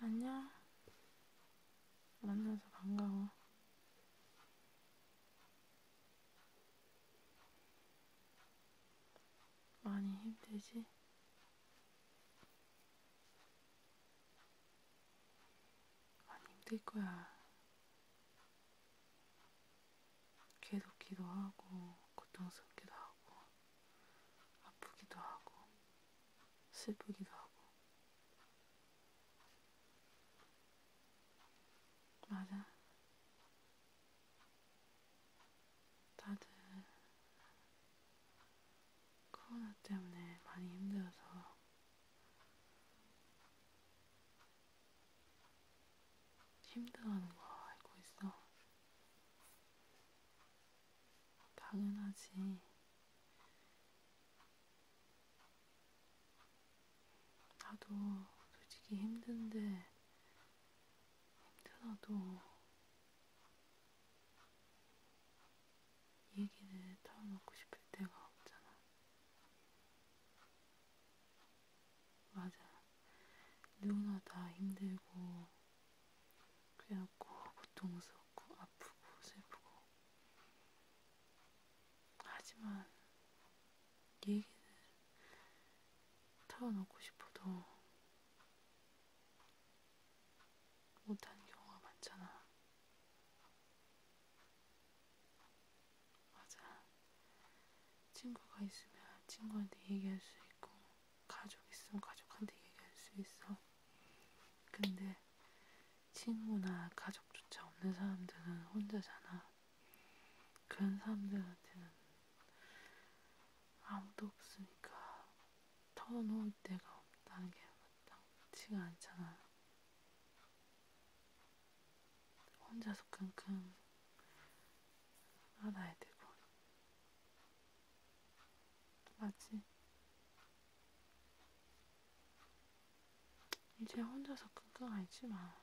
안녕. 만나서 반가워. 많이 힘들지? 많이 힘들 거야. 계속 기도하고, 고통스럽기도 하고, 아프기도 하고, 슬프기도 하고. 맞아. 다들 코로나 때문에 많이 힘들어서 힘들어하는 거 알고 있어. 당연하지. 나도 솔직히 힘든데, 힘들어도 얘기를 털어놓고 싶을 때가 없잖아. 맞아. 누구나 다 힘들고, 괴롭고, 고통스럽고, 아프고, 슬프고. 하지만, 얘기를 털어놓고 싶어도, 못하는 경우가 많잖아. 맞아. 친구가 있으면 친구한테 얘기할 수 있고, 가족 있으면 가족한테 얘기할 수 있어. 근데 친구나 가족조차 없는 사람들은 혼자잖아. 그런 사람들한테는 아무도 없으니까 털어놓을 데가 없다는 게 나쁘지가 않잖아. 혼자서 끙끙 알아야 되고. 맞지? 이제 혼자서 끙끙 앓지 마.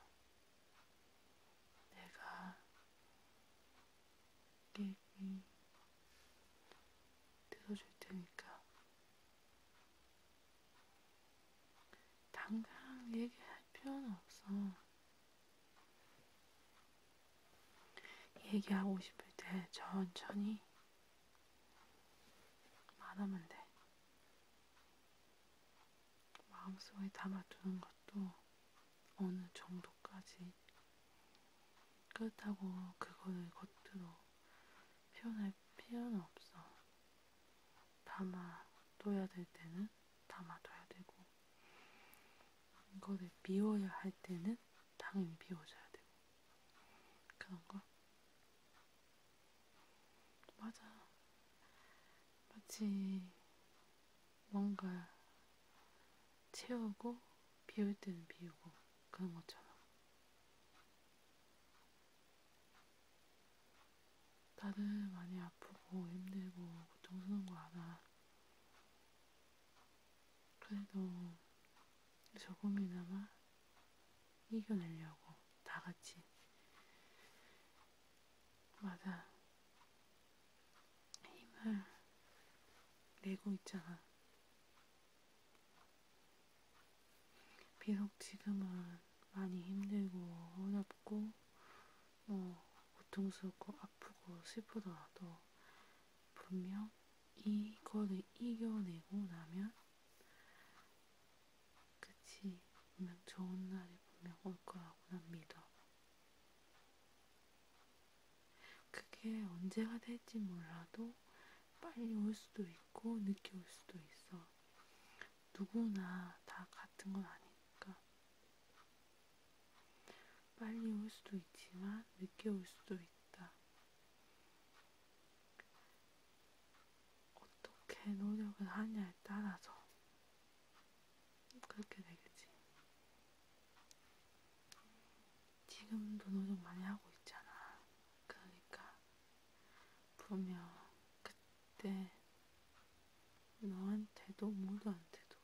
내가 네 얘기 들어줄 테니까 당장 얘기할 필요는 없어. 얘기하고 싶을 때 천천히 말하면 돼. 마음속에 담아두는 것도 어느 정도까지 그렇다고 그거를 겉으로 표현할 필요는 없어. 담아둬야 될 때는 담아둬야 되고, 이거를 비워야 할 때는 당연히 비워줘야 되고, 그런 거? 맞아. 마치 뭔가 채우고, 비울 때는 비우고, 그런 것처럼. 나는 많이 아프고 힘들고 고통스러운 거 알아. 그래도 조금이나마 이겨내려고 다 같이. 맞아. 힘을 내고 있잖아. 비록 지금은 많이 힘들고 어렵고 어, 고통스럽고 아프고 슬프더라도 분명 이거를 이겨내고 나면 그치 분명 좋은 날이 분명 올 거라고 난 믿어. 그게 언제가 될지 몰라도 빨리 올 수도 있고 있고 늦게 올 수도 있어. 누구나 다 같은 건 아니니까. 빨리 올 수도 있지만 늦게 올 수도 있다. 어떻게 노력을 하냐에 따라서 그렇게 되겠지. 지금도 노력 많이 하고 있잖아. 그러니까 분명 그때 너한테도 모두한테도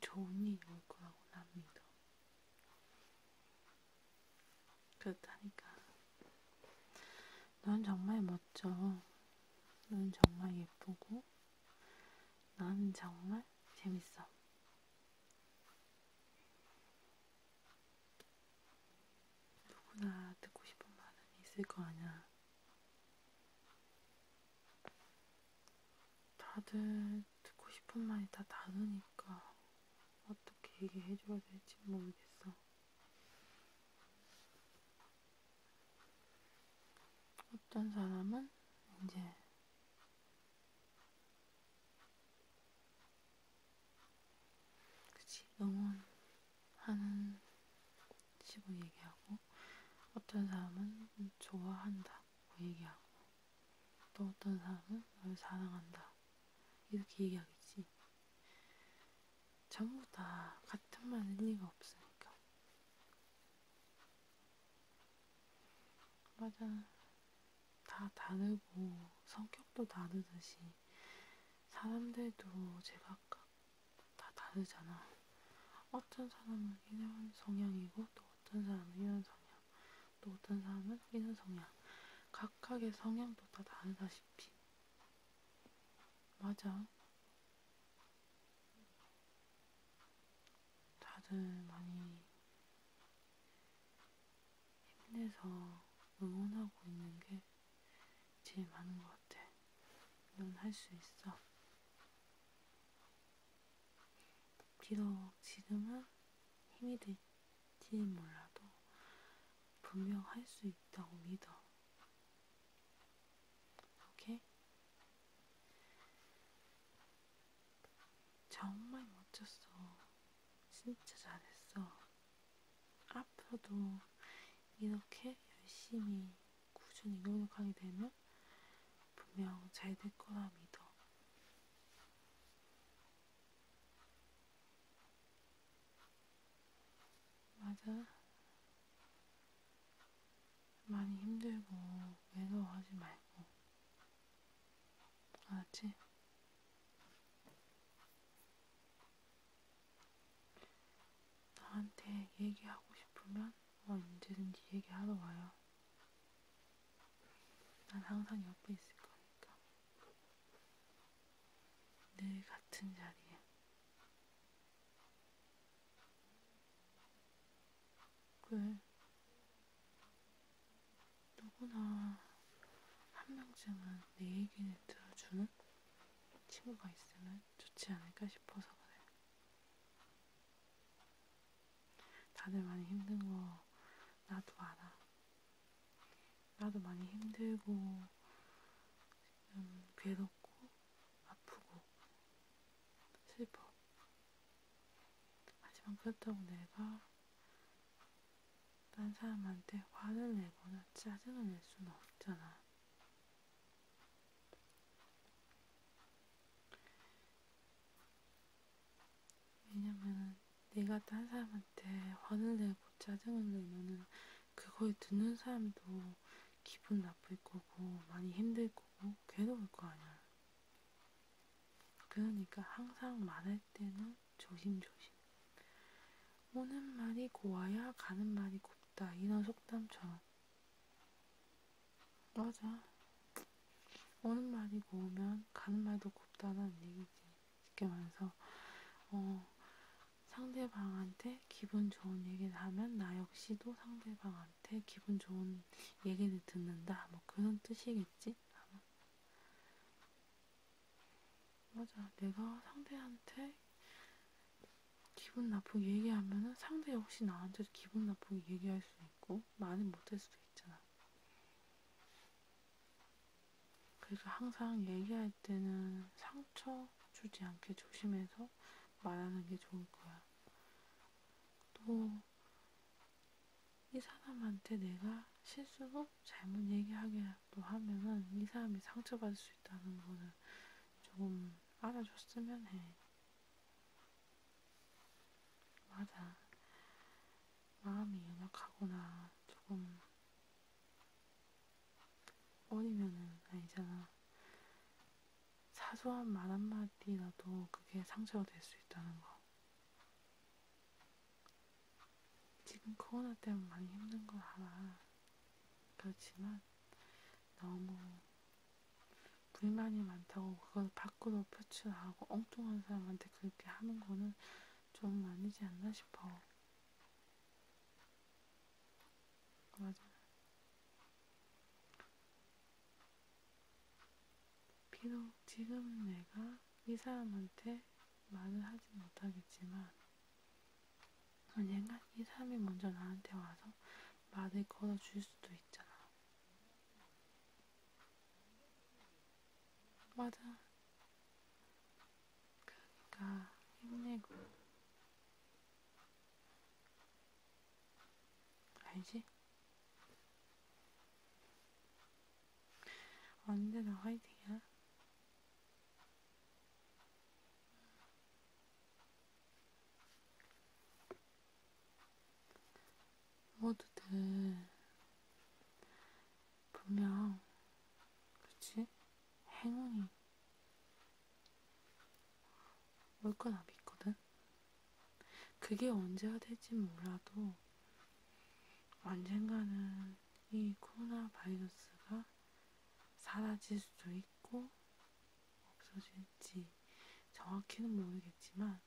좋은 일이 올 거라고 난 믿어. 그렇다니까. 넌 정말 멋져. 넌 정말 예쁘고, 넌 정말 재밌어. 누구나 듣고 싶은 말은 있을 거 아냐. 다들 듣고 싶은 말이 다 다르니까 어떻게 얘기해줘야 될지 모르겠어. 어떤 사람은 이제 그치 응원하는 식으로 얘기하고 어떤 사람은 좋아한다고 얘기하고 또 어떤 사람은 널 사랑한다 이렇게 얘기하겠지 전부 다 같은 말일 리가 없으니까 맞아 다 다르고 성격도 다르듯이 사람들도 제각각 다 다르잖아. 어떤 사람은 이런 성향이고 또 어떤 사람은 이런 성향, 또 어떤 사람은 이런 성향. 각각의 성향도 다 다르다시피. 맞아. 다들 많이 힘내서 응원하고 있는 게 제일 많은 것 같아. 넌할 수 있어. 비록 지금은 힘이 될지 몰라도 분명 할 수 있다고 믿어. 오케이? 정말 멋졌어. 진짜 잘했어. 앞으로도 이렇게 열심히 꾸준히 노력하게 되면 분명 잘 될 거라 믿어. 맞아. 많이 힘들고 외로워하지 말고 알았지? 나한테 얘기하고 싶으면 뭐 언제든지 얘기하러 와요. 난 항상 옆에 있을 거니까. 늘 같은 자리에. 그래. 누구나 한 명쯤은 내 얘기를 들어주는 친구가 있으면 좋지 않을까 싶어서 그래. 다들 많이 힘든 거 나도 알아. 나도 많이 힘들고 지금 음, 괴롭고 아프고 슬퍼. 하지만 그렇다고 내가 딴 사람한테 화를 내거나 짜증을 낼 수는 없잖아. 왜냐면 내가 딴 사람한테 화를 내고 짜증을 내면은 그걸 듣는 사람도 기분 나쁠 거고 많이 힘들 거고 괴로울 거 아니야. 그러니까 항상 말할 때는 조심조심. 오는 말이 고와야 가는 말이 곱다. 이런 속담처럼. 맞아. 오는 말이 고우면 가는 말도 곱다는 얘기지. 쉽게 말해서, 어, 상대방한테 기분 좋은 얘기를 하면 나 역시도 상대방한테 기분 좋은 얘기를 듣는다. 뭐 그런 뜻이겠지? 아마. 맞아. 내가 상대한테 기분 나쁘게 얘기하면은 상대 역시 나한테도 기분 나쁘게 얘기할 수도 있고 말은 못할 수도 있잖아. 그래서 항상 얘기할 때는 상처 주지 않게 조심해서 말하는 게 좋을 거야. 또이 사람한테 내가 실수로 잘못 얘기하게도 하면은 이 사람이 상처받을 수 있다는 거는 조금 알아줬으면 해. 맞아. 마음이 연약하거나 조금 어리면은 아니잖아. 사소한 말 한마디라도 그게 상처가 될 수 있다는 거. 지금 코로나 때문에 많이 힘든 거 알아. 그렇지만 너무 불만이 많다고 그걸 밖으로 표출하고 엉뚱한 사람한테 그렇게 하는 거는 좀 아니지 않나 싶어. 맞아. 비록 지금 내가 이 사람한테 말을 하지 못하겠지만 언젠간 이 사람이 먼저 나한테 와서 말을 걸어줄 수도 있잖아. 맞아. 그러니까 힘내고. 알지? 언제 나 화이팅이야? 먹어도 돼. 분명, 그치? 행운이 올 거나 믿거든? 그게 언제가 될지 몰라도 언젠가는 이 코로나 바이러스가 사라질 수도 있고 없어질지 정확히는 모르겠지만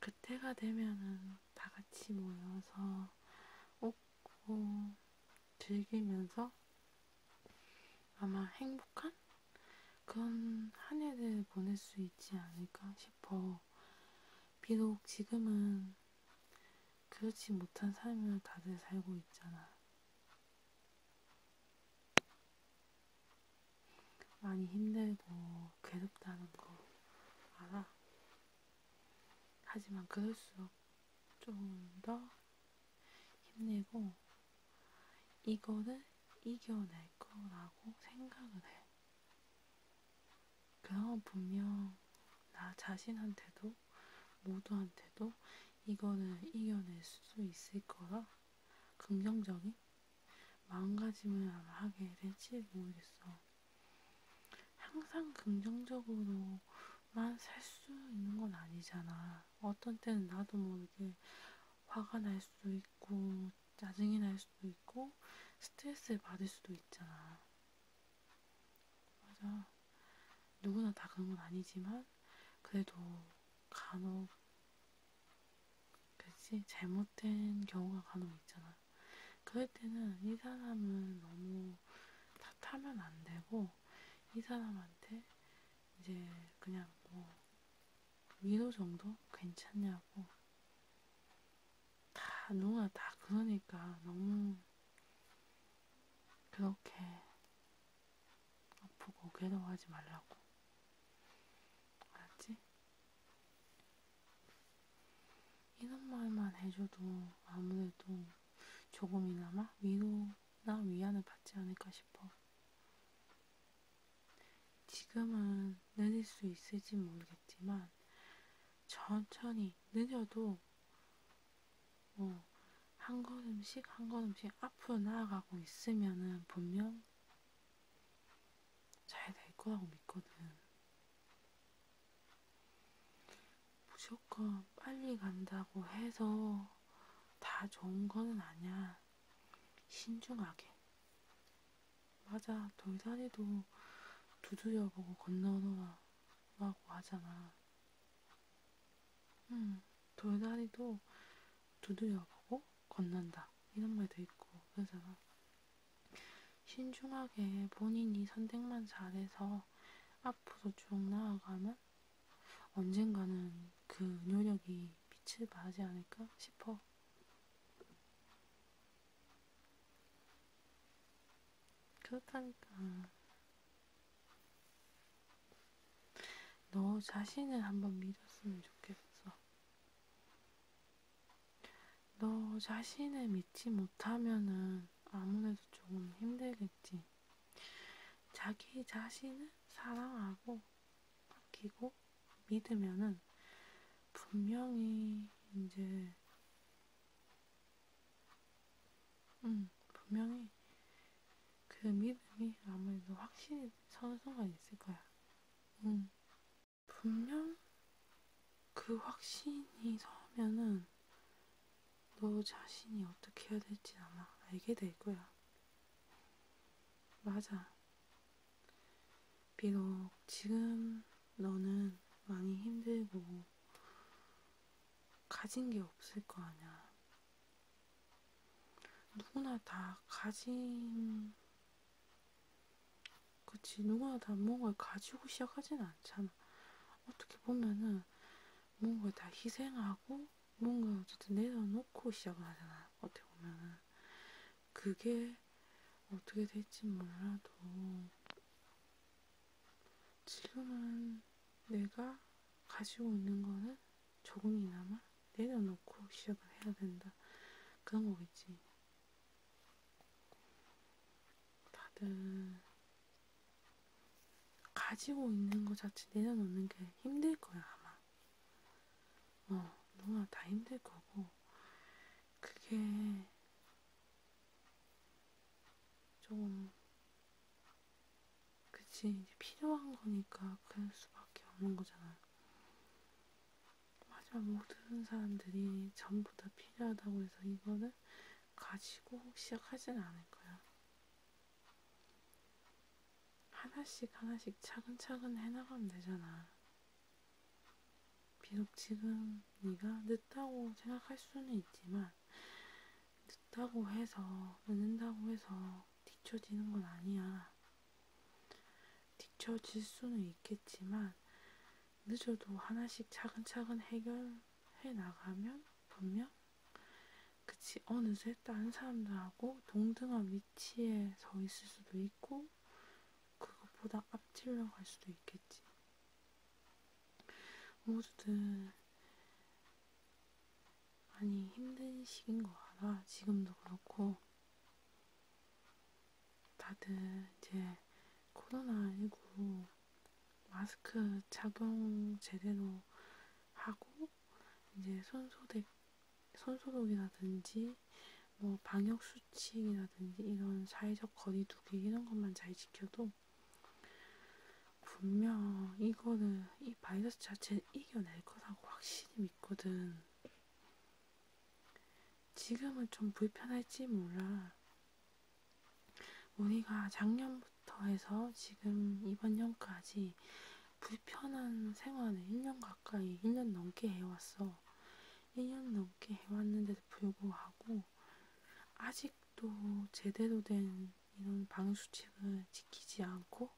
그때가 되면은 다 같이 모여서 웃고 즐기면서 아마 행복한 그런 한 해를 보낼 수 있지 않을까 싶어요. 싶어. 비록 지금은 그렇지 못한 삶을 다들 살고 있잖아. 많이 힘들고 괴롭다는 거 알아. 하지만 그럴수록 좀 더 힘내고 이거를 이겨낼 거라고 생각을 해. 그럼 분명 나 자신한테도 모두한테도 이거는 이겨낼 수 있을 거라 긍정적인 마음가짐을 아마 하게 될지 모르겠어. 항상 긍정적으로만 살 수 있는 건 아니잖아. 어떤 때는 나도 모르게 화가 날 수도 있고, 짜증이 날 수도 있고, 스트레스를 받을 수도 있잖아. 맞아. 누구나 다 그런 건 아니지만, 그래도 간혹, 그치? 잘못된 경우가 간혹 있잖아. 그럴 때는 이 사람은 너무 탓하면 안 되고, 이 사람한테 이제 그냥 뭐 위로 정도 괜찮냐고. 다 누나 다 그러니까 너무 그렇게 아프고 괴로워하지 말라고. 알았지? 이런 말만 해줘도 아무래도 조금이나마 위로나 위안을 받지 않을까 싶어. 지금은 느릴 수 있을지 모르겠지만 천천히 느려도 뭐한 걸음씩 한 걸음씩 앞으로 나아가고 있으면은 분명 잘 될 거라고 믿거든. 무조건 빨리 간다고 해서 다 좋은 거는 아니야. 신중하게 맞아, 돌산이도 두드려보고 건너오너라 라고 하잖아. 응, 돌산이도 두드려보고 건넌다. 이런 말도 있고, 그러잖아. 신중하게 본인이 선택만 잘해서 앞으로 쭉 나아가면 언젠가는 그 노력이 빛을 발하지 않을까 싶어. 그렇다니까. 너 자신을 한번 믿었으면 좋겠어. 너 자신을 믿지 못하면은 아무래도 조금 힘들겠지. 자기 자신을 사랑하고 아끼고 믿으면은 분명히 이제 음 분명히 그 믿음이 아무래도 확실히 서는 순간 있을 거야. 음 분명 그 확신이 서면은 너 자신이 어떻게 해야 될지 아마 알게 될 거야. 맞아. 비록 지금 너는 많이 힘들고 가진 게 없을 거 아냐. 누구나 다 가진, 그치, 누구나 다 뭔가를 가지고 시작하진 않잖아. 어떻게 보면은 뭔가를 다 희생하고 뭔가 어쨌든 내려놓고 시작을 하잖아. 어떻게 보면은. 그게 어떻게 될지 몰라도 지금은 내가 가지고 있는 거는 조금이나마 내려놓고 시작을 해야 된다. 그런 거겠지. 다들 가지고 있는 거 자체 내려놓는 게 힘들 거야, 아마. 어, 누나 다 힘들 거고, 그게 좀, 그치, 이제 필요한 거니까 그럴 수밖에 없는 거잖아. 하지만 모든 사람들이 전부 다 필요하다고 해서 이거를 가지고 시작하진 않을 거야. 하나씩 하나씩 차근차근 해나가면 되잖아. 비록 지금 네가 늦다고 생각할 수는 있지만 늦다고 해서 늦는다고 해서 뒤처지는 건 아니야. 뒤처질 수는 있겠지만 늦어도 하나씩 차근차근 해결해 나가면 분명 그치 어느새 다른 사람들하고 동등한 위치에 서 있을 수도 있고, 그것보다 앞질러 갈 수도 있겠지. 어쨌든, 많이 힘든 시기인 거 알아. 지금도 그렇고, 다들 이제 코로나19 마스크 착용 제대로 하고, 이제 손소독 손소독이라든지 뭐 방역 수칙이라든지 이런 사회적 거리두기 이런 것만 잘 지켜도 분명 이거를 이 바이러스 자체를 이겨낼 거라고 확실히 믿거든. 지금은 좀 불편할지 몰라. 우리가 작년부터 해서 지금 이번 년까지 이 불편한 생활을 1년 가까이, 1년 넘게 해왔어. 1년 넘게 해왔는데도 불구하고, 아직도 제대로 된 이런 방수칙을 지키지 않고,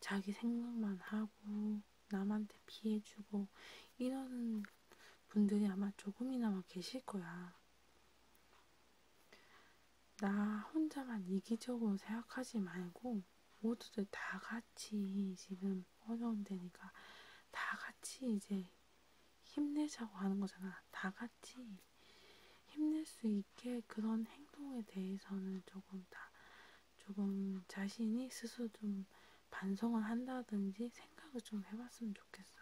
자기 생각만 하고, 남한테 피해주고, 이러는 분들이 아마 조금이나마 계실 거야. 나 혼자만 이기적으로 생각하지 말고, 모두들 다 같이 지금 어려운 데니까 다 같이 이제 힘내자고 하는 거잖아. 다 같이 힘낼 수 있게 그런 행동에 대해서는 조금 다 조금 자신이 스스로 좀 반성을 한다든지 생각을 좀 해봤으면 좋겠어.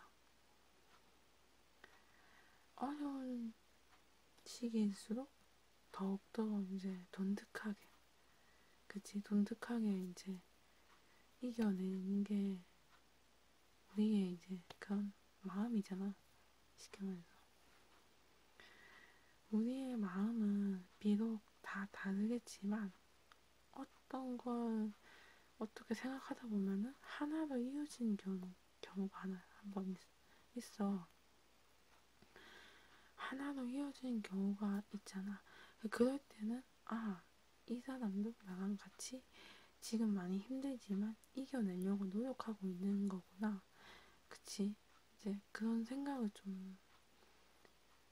어려운 시기일수록 더욱더 이제 돈득하게, 그치, 돈득하게 이제 이겨내는 게 우리의 이제 그런 마음이잖아. 쉽게 말해서. 우리의 마음은 비록 다 다르겠지만, 어떤 걸 어떻게 생각하다 보면은 하나로 이어진 경우, 경우가 하나, 한 번 있어. 하나로 이어지는 경우가 있잖아. 그럴 때는 아, 이 사람도 나랑 같이 지금 많이 힘들지만 이겨내려고 노력하고 있는 거구나. 그치? 이제 그런 생각을 좀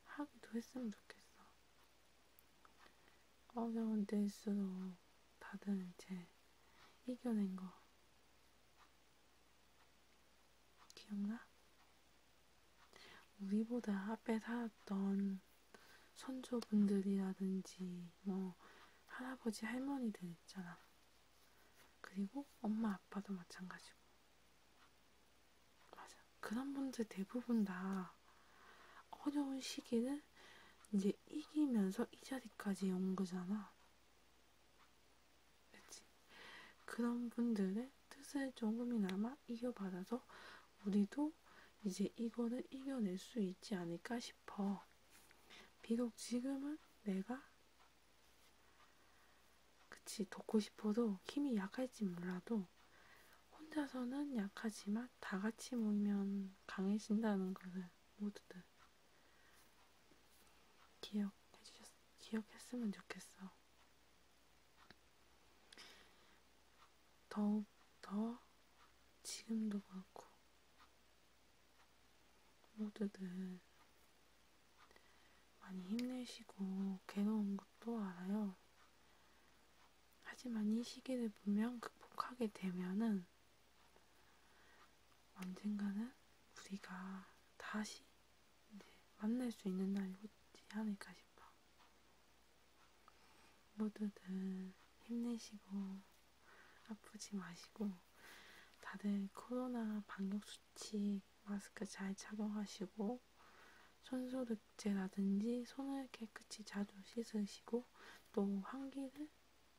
하기도 했으면 좋겠어. 어려운 때일수록 다들 이제 이겨낸 거 기억나? 우리보다 앞에 살았던 선조분들이라든지 뭐 할아버지 할머니들 있잖아. 그리고 엄마 아빠도 마찬가지고. 맞아. 그런 분들 대부분 다 어려운 시기를 이제 이기면서 이 자리까지 온 거잖아. 그치? 그런 분들의 뜻을 조금이나마 이겨받아서 우리도 이제 이거를 이겨낼 수 있지 않을까 싶어. 비록 지금은 내가 그치 돕고 싶어도 힘이 약할지 몰라도 혼자서는 약하지만 다 같이 모이면 강해진다는 것을 모두들 기억해주셨, 기억했으면 좋겠어. 더욱 더 지금도 그렇고 모두들 많이 힘내시고 괴로운 것도 알아요. 하지만 이 시기를 분명 극복하게 되면은 언젠가는 우리가 다시 만날 수 있는 날이 오지 않을까 싶어. 모두들 힘내시고 아프지 마시고 다들 코로나 방역 수칙 마스크 잘 착용하시고 손소독제라든지 손을 깨끗이 자주 씻으시고 또 환기를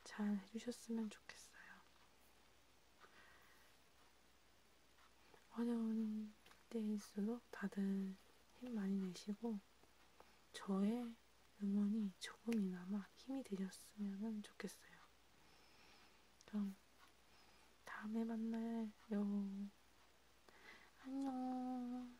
잘 해주셨으면 좋겠어요. 어려운 때일수록 다들 힘 많이 내시고 저의 응원이 조금이나마 힘이 되셨으면 좋겠어요. 그럼 다음에 만나요. 안녕.